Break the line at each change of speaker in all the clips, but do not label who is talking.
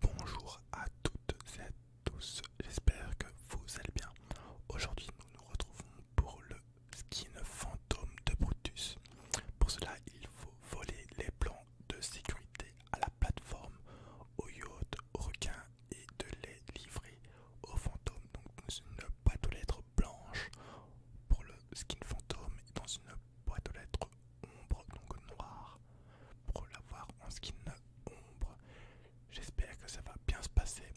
Bonjour à toutes et à tous, j'espère que vous allez bien. Aujourd'hui nous nous retrouvons pour le skin fantôme de Brutus. Pour cela il faut voler les plans de sécurité à la plateforme, au yacht, au requin et de les livrer au fantômes. Donc dans une boîte aux lettres blanches pour le skin fantôme dans une boîte être lettres ombre, donc noire, pour l'avoir en skin ombre. J'espère que ça va bien se passer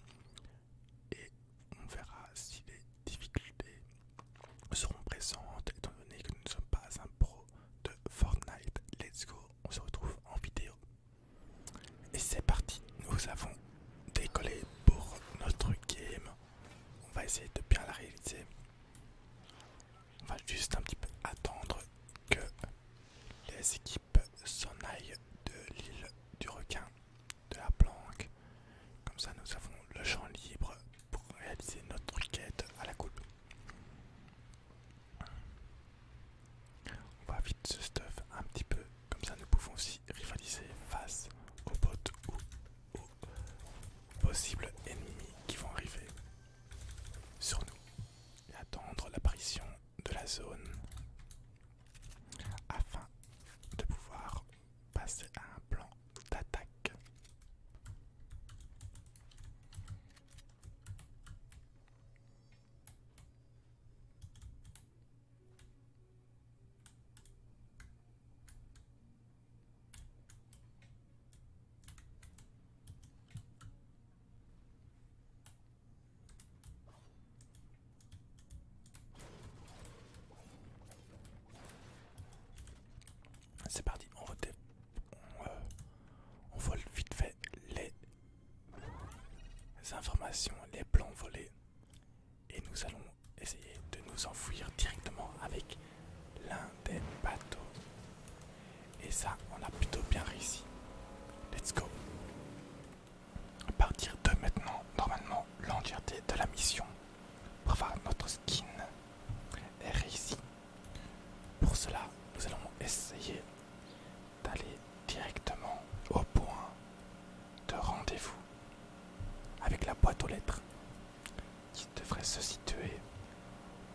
et on verra si les difficultés seront présentes étant donné que nous ne sommes pas un pro de Fortnite. Let's go, on se retrouve en vidéo. Et c'est parti, nous avons décollé pour notre game. On va essayer de bien la réaliser. On va juste un petit peu attendre que les équipes s'en aillent de l'île du requin, de la planque. Comme ça, nous avons le champ libre pour réaliser notre requête à la coupe. On va vite ce stuff un petit peu, comme ça nous pouvons aussi rivaliser face aux potes ou aux possibles ennemis qui vont arriver sur nous et attendre l'apparition de la zone afin de pouvoir passer à un plan d'attaque. C'est parti, on, vote, euh, on, vole vite fait les les informations, les plans volés. Et nous allons essayer de nous enfouir directement avec l'un des bateaux. Et ça, on a plutôt bien réussi. Let's go. À partir de maintenant, normalement, l'entièreté de la mission, pour notre skin, est réussi pour cela, nous allons essayer d'aller directement au point de rendez-vous avec la boîte aux lettres qui devrait se situer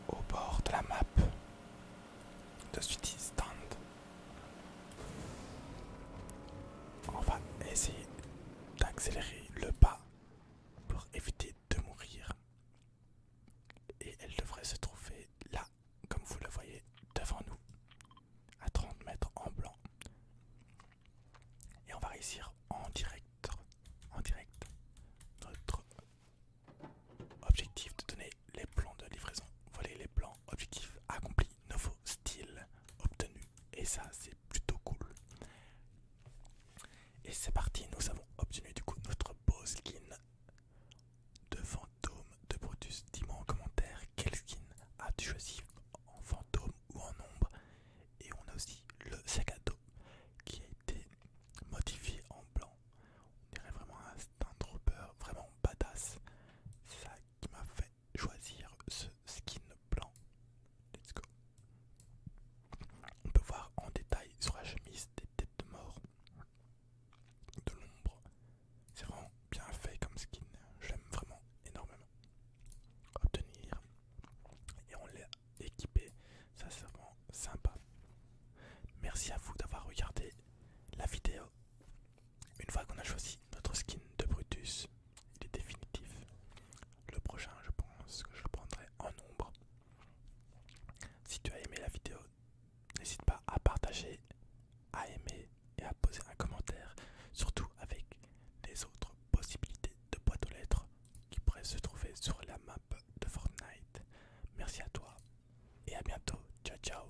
au bord de la map de City Stand. On va essayer d'accélérer le pas pour éviter de mourir et elle devrait se trouver là, comme vous le voyez devant nous, à 30 mètres en blanc. Et on va réussir en direct, en direct, notre objectif de donner les plans de livraison. Voilà les plans, objectif accompli, nouveau style obtenu. Et ça, c'est plutôt cool. Et c'est parti, nous avons obtenu du coup notre beau skin de fantôme de Brutus. Dis-moi en commentaire quel skin as-tu choisi en fantôme ou en ombre. Et on a aussi le sac à dos qui a été modifié en blanc. On dirait vraiment un Stuntrooper, vraiment badass. C'est ça qui m'a fait choisir ce skin blanc. Let's go. On peut voir en détail sur la chemise des têtes de mort de l'ombre. C'est vraiment bien fait comme skin. J'aime vraiment énormément. Obtenir. Et on l'a équipé. Ça c'est vraiment sympa. Merci à vous d'avoir regardé la vidéo. Une fois qu'on a choisi notre skin de Brutus, il est définitif. Le prochain, je pense que je prendrai en nombre. Si tu as aimé la vidéo, n'hésite pas à partager, à aimer et à poser un commentaire, surtout avec les autres possibilités de boîte aux lettres qui pourraient se trouver sur la map de Fortnite. Merci à toi et à bientôt. Ciao ciao